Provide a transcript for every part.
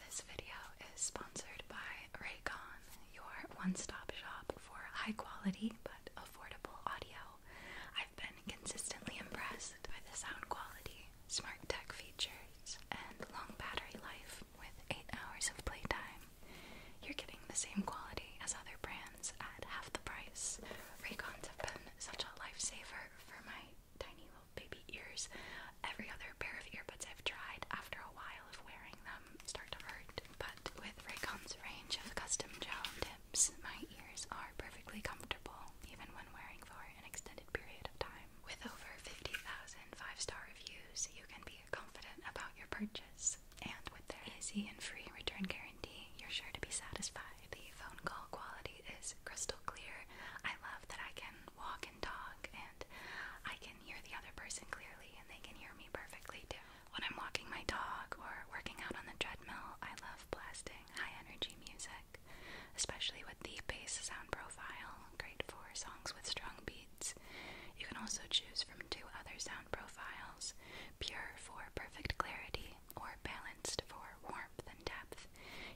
This video is sponsored by Raycon, your one-stop shop for high-quality but affordable audio. I've been consistently impressed by the sound quality, smart tech features, and long battery life with 8 hours of playtime. You're getting the same quality as other brands at half the price. Raycons have been such a lifesaver for my tiny baby ears. Every other pair of earbuds I've tried, after a while of wearing them, start to hurt. But with Raycon's range of custom gel tips, my ears are perfectly comfortable, even when wearing for an extended period of time. With over 50,000 five-star reviews, you can be confident about your purchase. And with their easy and free return guarantee, you're sure to be satisfied. The phone call quality is crystal clear. I love that I can walk in talk and I can hear the other person clearly and they can hear me perfectly too. When I'm walking my dog or working out on the treadmill, I love blasting high energy music, especially with the bass sound profile, great for songs with strong beats. You can also choose from two other sound profiles pure for perfect clarity or balanced for warmth and depth.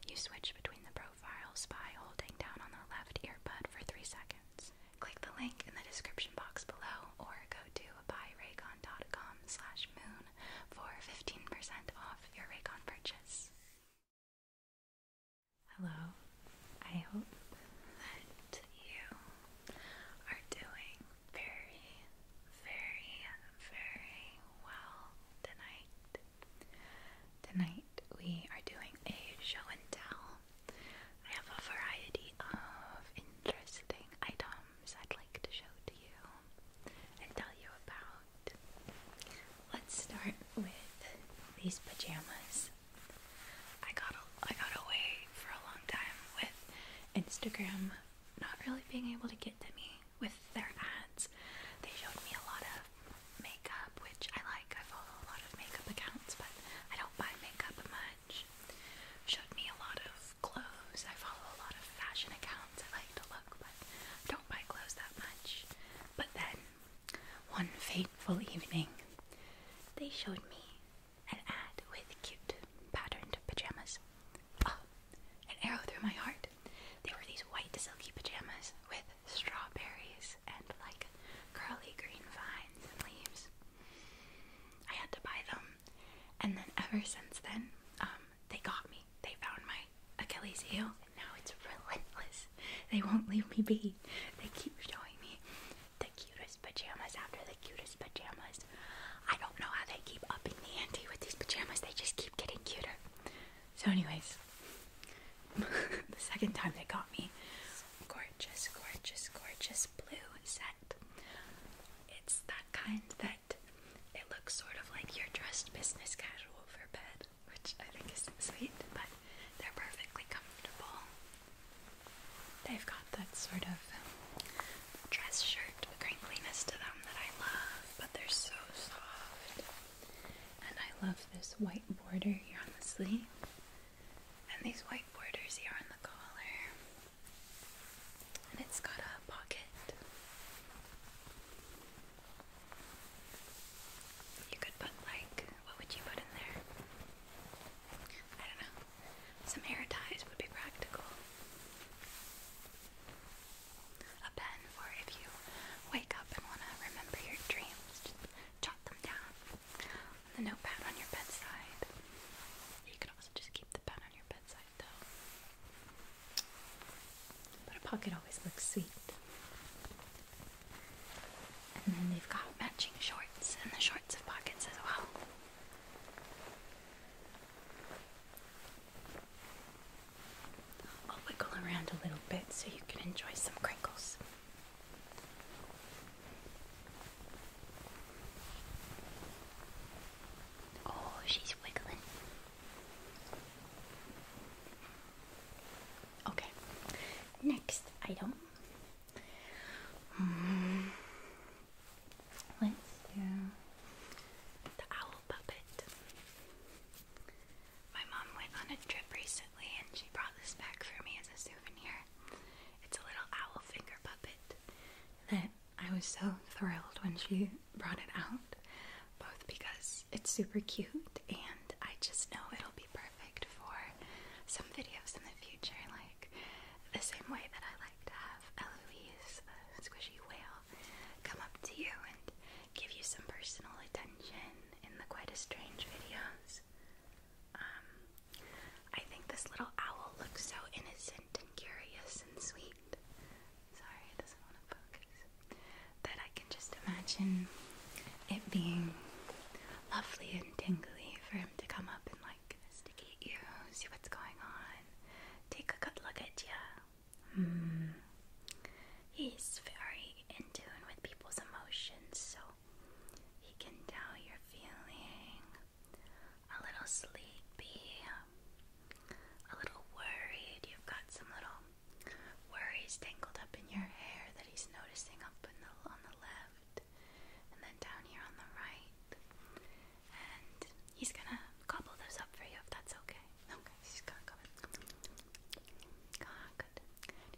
You switch between the profiles profile spy holding down on the left earbud for 3 seconds. Click the link in the description box below or go to buyraycon.com slash moon for 15% off your Raycon purchase. Hello, I hope that you are doing very, very, very well tonight. Tonight we are doing a show and tell. I have a variety of interesting items I'd like to show to you and tell you about. Let's start with these pajamas. I got I got away for a long time with Instagram not really being able to get to me with their ads. They showed me a lot of makeup, which I like. I follow a lot of makeup accounts, but I don't buy makeup much. Showed me a lot of clothes. I follow a lot of fashion accounts. I like to look, but don't buy clothes that much. But then, one fateful evening, they showed me an ad with cute patterned pajamas. Oh, an arrow through my heart. They were these white silky pajamas with strawberries and like curly green vines and leaves. I had to buy them, and then ever since then, um, they got me. They found my Achilles heel, and now it's relentless. They won't leave me be. They keep showing me the cutest pajamas after the cutest pajamas. I don't know how they keep upping the ante with these pajamas. They just keep getting cuter. So, anyways, the second time they got me. Gorgeous, gorgeous, gorgeous blue set. It's that kind that it looks sort of like you're dressed business casual for bed, which I think is sweet, but they're perfectly comfortable. They've got that sort of dress shirt crinkliness to them that I love, but they're so soft. And I love this white border here on the sleeve. And these white borders here on the collar. And it's got a pocket. You could put like, what would you put in there? I don't know. Some hair ties would be practical. A pen for if you wake up and want to remember your dreams jot them down the notepad on your bedside. You could also just keep the pen on your bedside, though. But a pocket always looks sweet. And then they've got matching shorts, and the shorts have pockets as well. I'll wiggle around a little bit so you can enjoy some crinkles. Oh, she's wiggling. Okay, next item. Let's do the owl puppet. My mom went on a trip recently and she brought this back for me as a souvenir. It's a little owl finger puppet that I was so thrilled when she brought it out, both because it's super cute and I just know it'll be perfect for some videos in the future, like the same way that I like to have Eloise, squishy whale, come up to you and give you some personal attention in the Quite a Strange videos. Um, I think this little owl looks so innocent and curious and sweet. Sorry, it doesn't want to focus. That I can just imagine it being lovely and tingly for him to come up and like investigate you, see what's going on, take a good look at you he's very in tune with people's emotions, so he can tell you're feeling a little sleepy, a little worried. You've got some little worries tangled up in your hair that he's noticing up on the left and then down here on the right. And he's gonna cobble those up for you if that's okay. Okay, he's gonna gobble. good.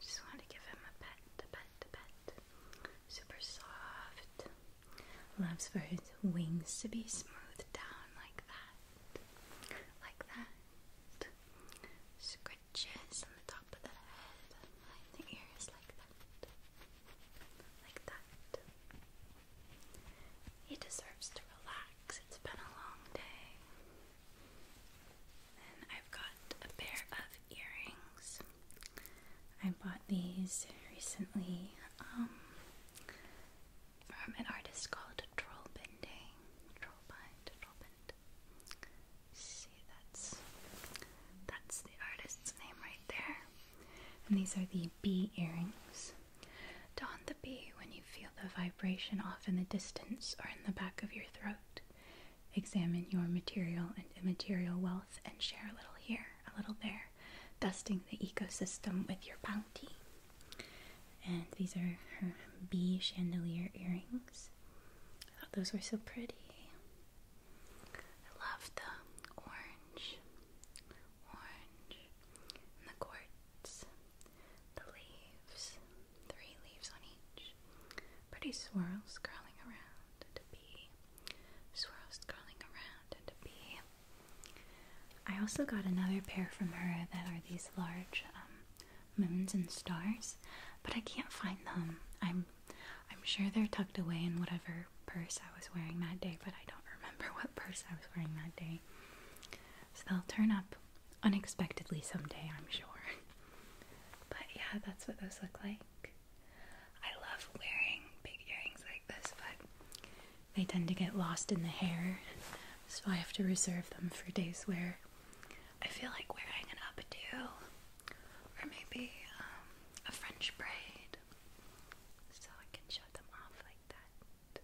Just want to give him a pet, a pet, a pet. Super soft. Loves for his wings to be smoothed down like that. Like that. Scratches on the top of the head, the ears like that. Like that. He deserves to relax. It's been a long day. Then I've got a pair of earrings. I bought these recently um, from an artist called Troll Bending. Trollbind, See, that's that's the artist's name right there. And these are the bee earrings. Don the bee when you feel the vibration off in the distance or in the back of your throat. Examine your material and immaterial wealth and share a little here, a little there, dusting the ecosystem with your bounty. And these are her bee chandelier earrings. I oh, thought those were so pretty. I love the orange, orange, the quartz, the leaves, three leaves on each pretty swirls curling around and a bee. Swirls curling around and a bee. I also got another pair from her that are these large um, moons and stars, but I can't find them. I'm I'm sure they're tucked away in whatever purse I was wearing that day, but I don't remember what purse I was wearing that day. So they'll turn up unexpectedly someday, I'm sure. But yeah, that's what those look like. I love wearing big earrings like this, but they tend to get lost in the hair, so I have to reserve them for days where I feel like wearing an updo or maybe um, a French braid so I can show them off like that.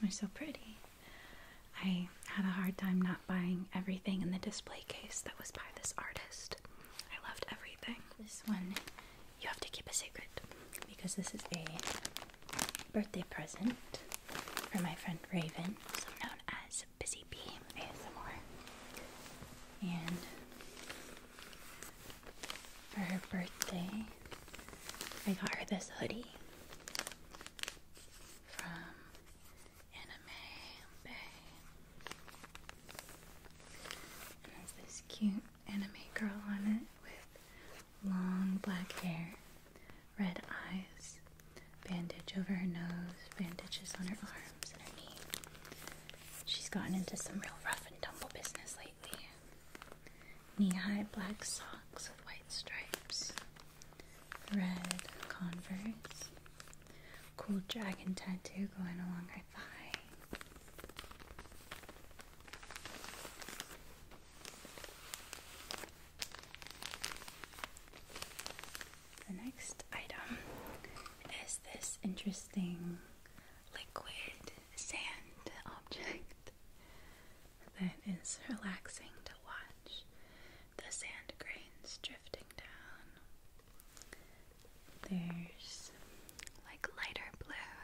They're so pretty. I had a hard time not buying everything in the display case that was by this artist. I loved everything. This one you have to keep a secret because this is a birthday present for my friend Raven, also known as Busy Bee ASMR. And for her birthday, I got her this hoodie from Anime Bay. And this cute anime girl on it with long black hair, red eyes, bandage over her nose, bandages on her arms and her knee. She's gotten into some real rough and tumble business lately. Knee high black socks with white stripes red Converse. Cool dragon tattoo going along her thigh. The next item is this interesting liquid sand object that is relaxing to watch the sand grains drifting down. There's like lighter blue,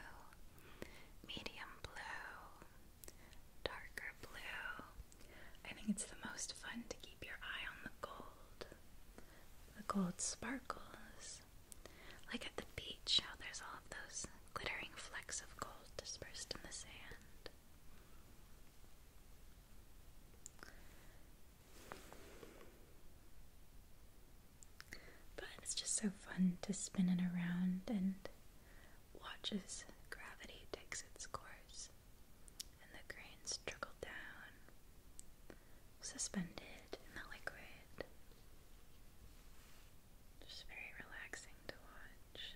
medium blue, darker blue. I think it's the most fun to keep your eye on the gold. The gold sparkles. Like at the beach, how there's all of those glittering flecks of gold dispersed in the sand. But it's just so fun to spin it around and watch as gravity takes its course and the grains trickle down, suspended in the liquid. Just very relaxing to watch.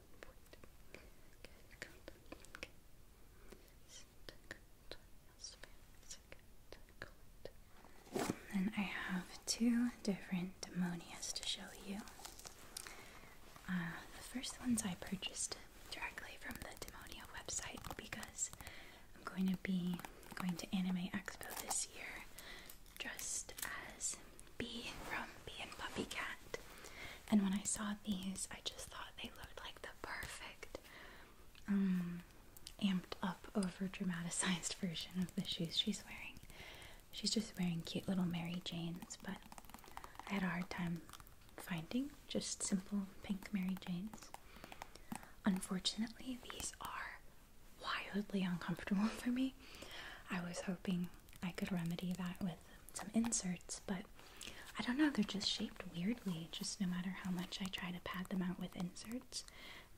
Then I have two different demonias to show you. Uh, the first ones I purchased directly from the Demonia website because I'm going to be going to Anime Expo this year dressed as B from B and Puppy Cat. And when I saw these, I just thought they looked like the perfect um, amped up over dramatized version of the shoes she's wearing. She's just wearing cute little Mary Janes, but I had a hard time finding just simple pink Mary Janes. Unfortunately, these are wildly uncomfortable for me. I was hoping I could remedy that with some inserts, but I don't know, they're just shaped weirdly. Just no matter how much I try to pad them out with inserts,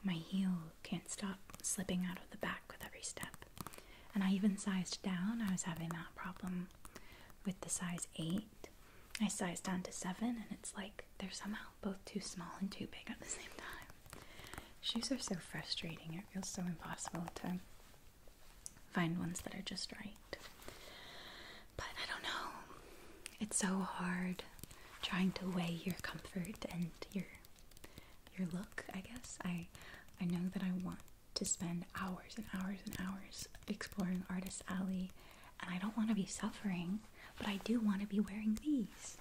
my heel can't stop slipping out of the back with every step. And I even sized down, I was having that problem with the size 8. I sized down to 7, and it's like they're somehow both too small and too big at the same time. Shoes are so frustrating, it feels so impossible at times find ones that are just right. But I don't know. It's so hard trying to weigh your comfort and your your look, I guess. I I know that I want to spend hours and hours and hours exploring Artist Alley and I don't want to be suffering, but I do want to be wearing these.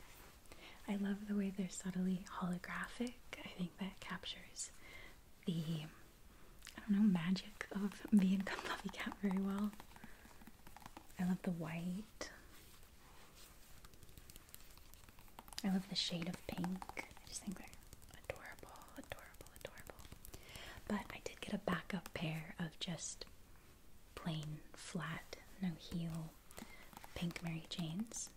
I love the way they're subtly holographic. I think that captures the I don't know, magic of the income Puffy Cat very well. I love the white. I love the shade of pink. I just think they're adorable, adorable, adorable. But I did get a backup pair of just plain, flat, no heel pink Mary Janes.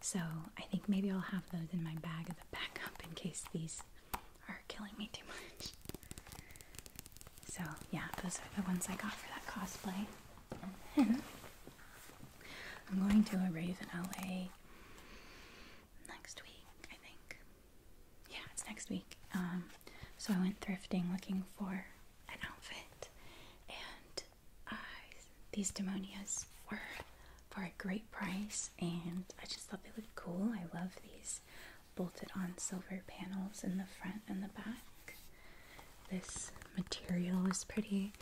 So I think maybe I'll have those in my bag as a backup in case these are killing me too much. So yeah, those are the ones I got for that cosplay. I'm going to a rave in LA next week, I think. Yeah, it's next week. Um, so I went thrifting looking for an outfit, and I, these demonias were for a great price, and I just thought they looked cool. I love these bolted on silver panels in the front and the back. This material is pretty.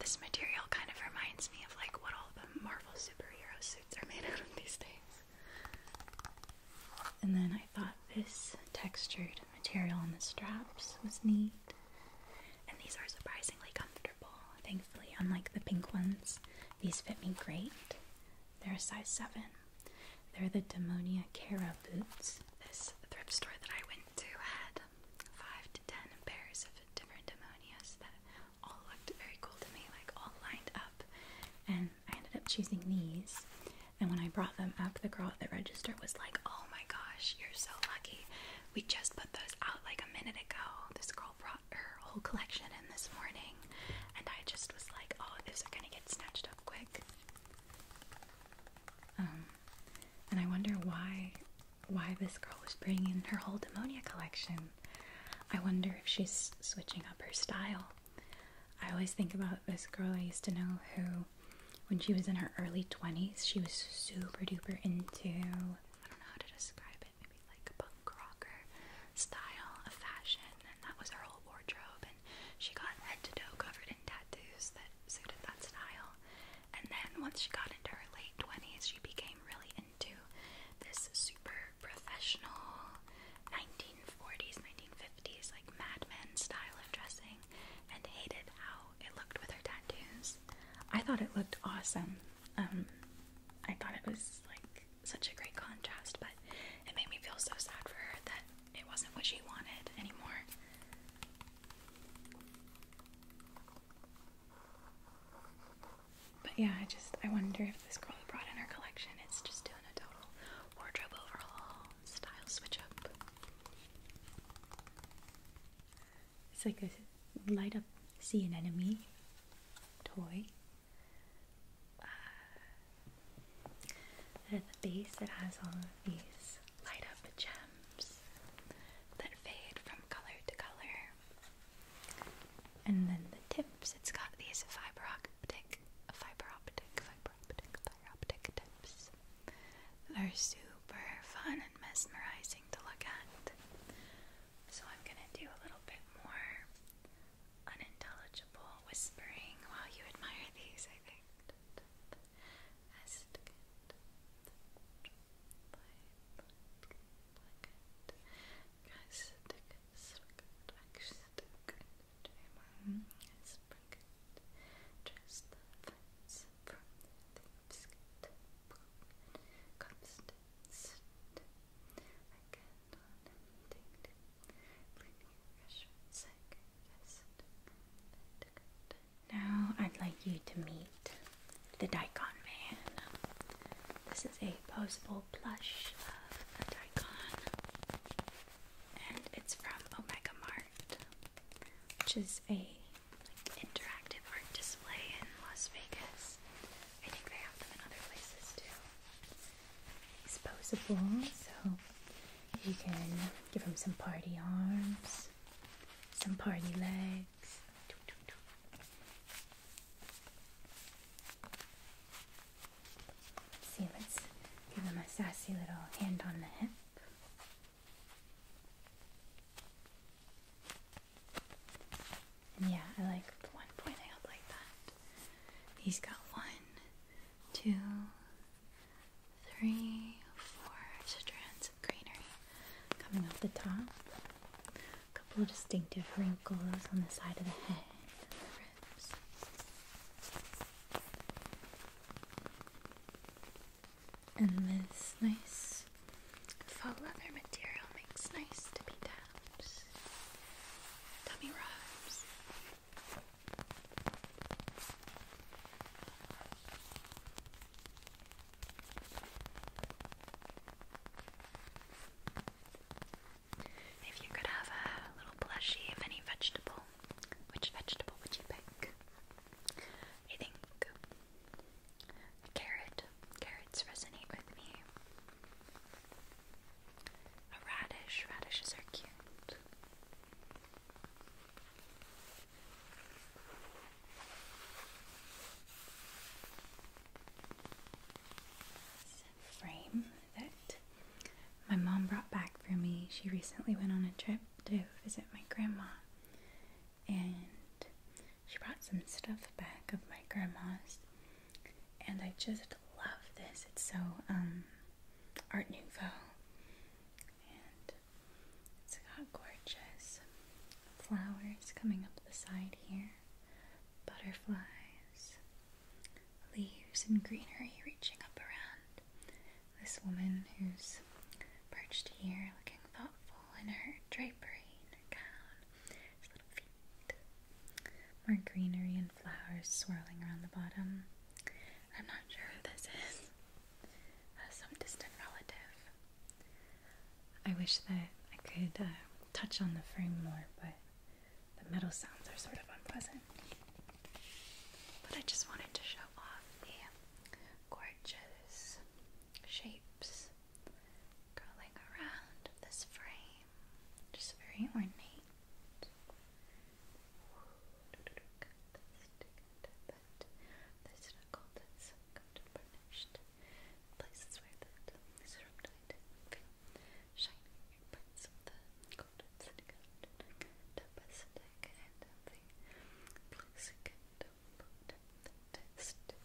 This material kind of reminds me of like what all the Marvel superhero suits are made out of these days. And then I thought this textured material on the straps was neat. And these are surprisingly comfortable thankfully, unlike the pink ones. These fit me great. They're a size 7. They're the Demonia Cara boots. This thrift store that I went to had 5 to 10 pairs of different Demonias that all looked very cool to me, like all lined up. And I ended up choosing these. And when I brought them up, the girl at the register was like, Oh my gosh, you're so lucky. We just put those out like a minute ago. This girl brought her whole collection in this morning, and I just was like, oh, this is gonna get snatched up quick. Um, and I wonder why why this girl was bringing her whole Demonia collection. I wonder if she's switching up her style. I always think about this girl I used to know who, when she was in her early 20s, she was super duper into, I don't know how to describe it maybe like punk rocker style of fashion, and that was her whole wardrobe. And she got head covered in tattoos that suited that style. And then once she got into her late 20s, she became really into this super professional 1940s, 1950s, like Mad Men style of dressing and hated how it looked with her tattoos. I thought it looked awesome. Um, I thought it was like such a great contrast, but it made me feel so sad for her that it wasn't what she wanted anymore. But yeah, I just I wonder if this girl brought in her collection is just doing a total wardrobe overhaul, style switch up. It's like a light up sea anemone toy uh, at the base it has all of these light up gems that fade from color to color and then the tips it's got these fiber optic fiber optic fiber optic fiber optic tips they're super fun and mesmerizing to look at so I'm going to do a little bit more unintelligible whispering while you admire these, I think. Now I'd like you to meet the daikon man. This is a posable plush of a daikon, and it's from Omega Mart, which is a interactive art display in Las Vegas. I think they have them in other places too. Disposable, so you can give them some party arms, some party legs. see, let's give them a sassy little hand on the hip. And yeah, I like the one pointing up like that. He's got one, two, three, four strands of greenery coming off the top. A couple of distinctive wrinkles on the side of the head the ribs. And this nice Faux leather material makes nice tippy taps, tummy rubs. If you could have a little plushie of any vegetable, which vegetable would you pick? I think Carrot. Carrots resonate with me. A radish. Radishes are cute. frame that my mom brought back for me. She recently went on a trip to visit my grandma. And she brought some stuff back of my grandma's, and I just love this. It's so um, Art Nouveau, and it's got gorgeous flowers coming up the side here, butterflies, leaves, and greenery reaching up around. This woman who's perched here, looking thoughtful in her drapery, gown, more greenery and flowers swirling around the bottom. I'm not sure who this is. Uh, some distant relative. I wish that I could uh, touch on the frame more, but the metal sounds are sort of unpleasant. But I just wanted to show off the gorgeous shapes curling around this frame, just very ornate. This is called this burnished places where the these are uptight feel shiny of the gold sitting out depositic and the placing it put the test that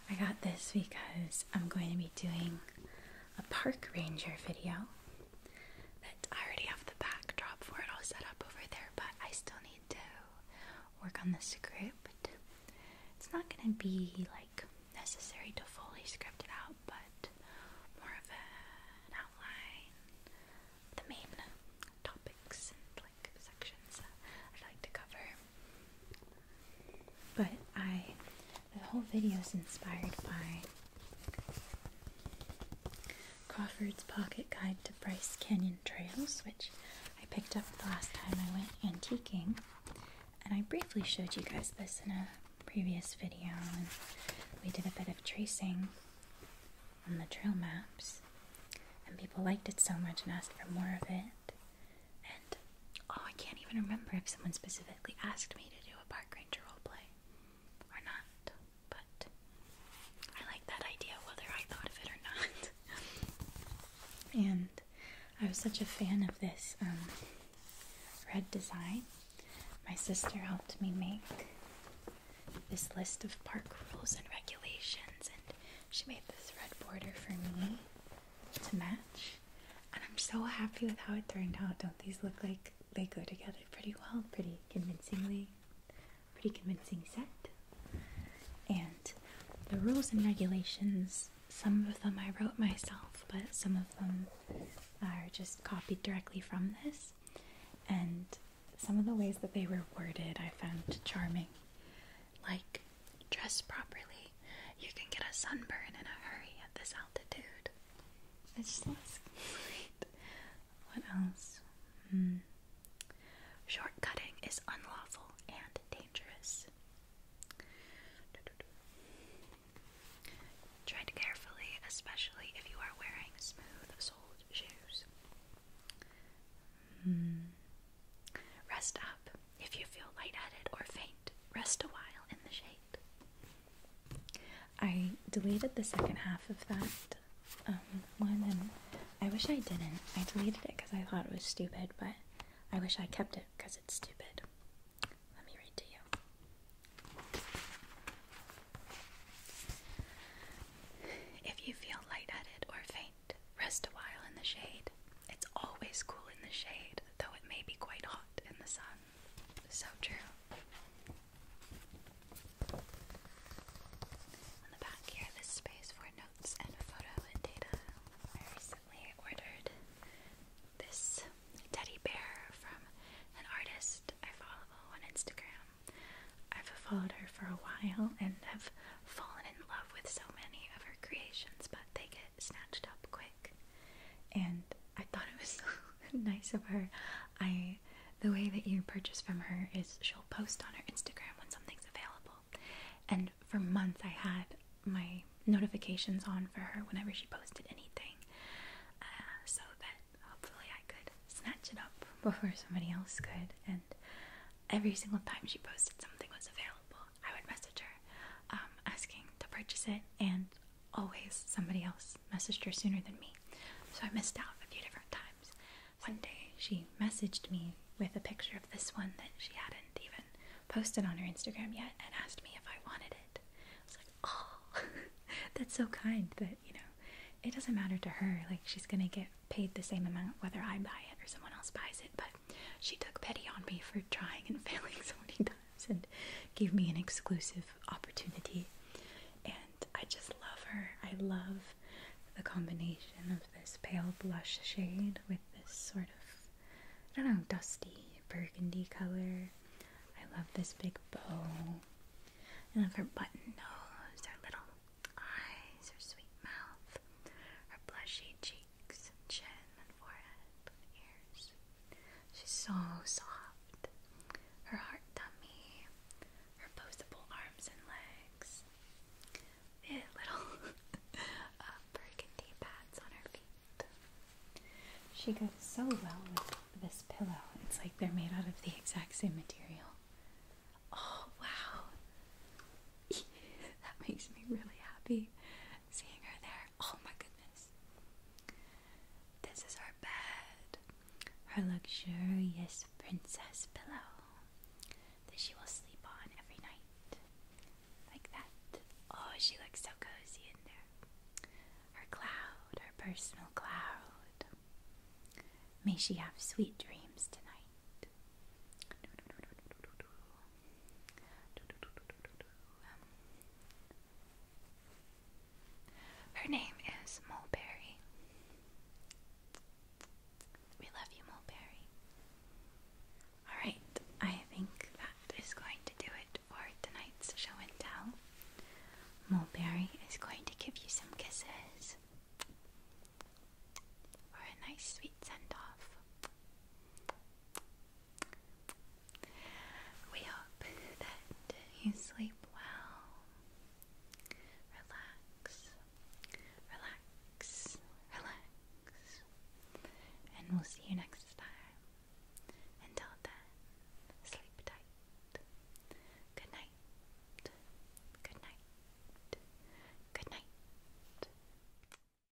I got this because I'm going to be doing a park ranger video that I already have the backdrop for it all set up over there, but I still need to work on the script. It's not going to be like necessary to fully script it out, but more of an outline, the main topics and like sections I'd like to cover. But I, the whole video is inspired by Crawford's Pocket Guide to Bryce Canyon Trails, which I picked up the last time I went antiquing. And I briefly showed you guys this in a previous video, and we did a bit of tracing on the trail maps. And people liked it so much and asked for more of it. And oh, I can't even remember if someone specifically asked me to do a park ranger roleplay or not, but I like that idea whether I thought of it or not. and I was such a fan of this um, red design. My sister helped me make this list of park rules and regulations, and she made this red border for me to match. And I'm so happy with how it turned out. Don't these look like they go together pretty well? Pretty convincingly. Pretty convincing set. And the rules and regulations, some of them I wrote myself, but some of them are just copied directly from this. And some of the ways that they were worded I found charming. Like Dress properly. You can get a sunburn in a hurry at this altitude. It just looks What else? Hmm. Shortcutting is unlawful and dangerous. Tread carefully, especially if you are wearing smooth soled shoes. Mm. Rest up. If you feel light-headed or faint, rest a while in the shade. I deleted the second half of that um, one, and I wish I didn't. I deleted it because I thought it was stupid, but I wish I kept it because it's stupid. Let me read to you. If you feel light-headed or faint, rest a while in the shade. It's always cool in the shade though it may be quite hot in the sun. So true. On the back here, space for notes and photo and data. I recently ordered this teddy bear from an artist I follow on Instagram. I've followed her for a while and have fallen in love with so many of her creations, but they get snatched up quick. And I thought it was so nice of her. I the way that you purchase from her is she'll post on her Instagram when something's available. And for months I had my notifications on for her whenever she posted anything. Uh, so that hopefully I could snatch it up before somebody else could and every single time she posted something was available I would message her um, asking to purchase it, and always somebody else messaged her sooner than me. So I missed out a few different times. One day she messaged me with a picture of this one that she hadn't even posted on her Instagram yet and asked me if I wanted it. I was like, oh, that's so kind that, you know, it doesn't matter to her. Like, she's gonna get paid the same amount whether I buy it or someone else buys it, but she took pity on me for trying and failing so many times and gave me an exclusive opportunity. And I just love her. I love the combination of this pale blush shade with this sort of, I don't know, dusty burgundy color. I love this big bow. I love her button nose, her little eyes, her sweet mouth, her blushy cheeks and chin and forehead and ears. She's so soft. Her heart tummy, her posable arms and legs, little uh, burgundy pads on her feet. She goes so well with this pillow. It's like they're made out of the exact same material. Oh wow! that makes me really happy seeing her there. Oh my goodness. This is our bed, her luxurious princess pillow that she will sleep on every night. Like that. Oh, she looks so cozy in there. Her cloud, her personal cloud. May she have sweet dreams tonight. Um, her name is Mulberry. We love you, Mulberry. Alright, I think that is going to do it for tonight's show and tell. Mulberry is going to give you some kisses for a nice sweet send off. We hope that you sleep well. Relax, relax, relax. And we'll see you next time. Until then, sleep tight. Good night. Good night. Good night.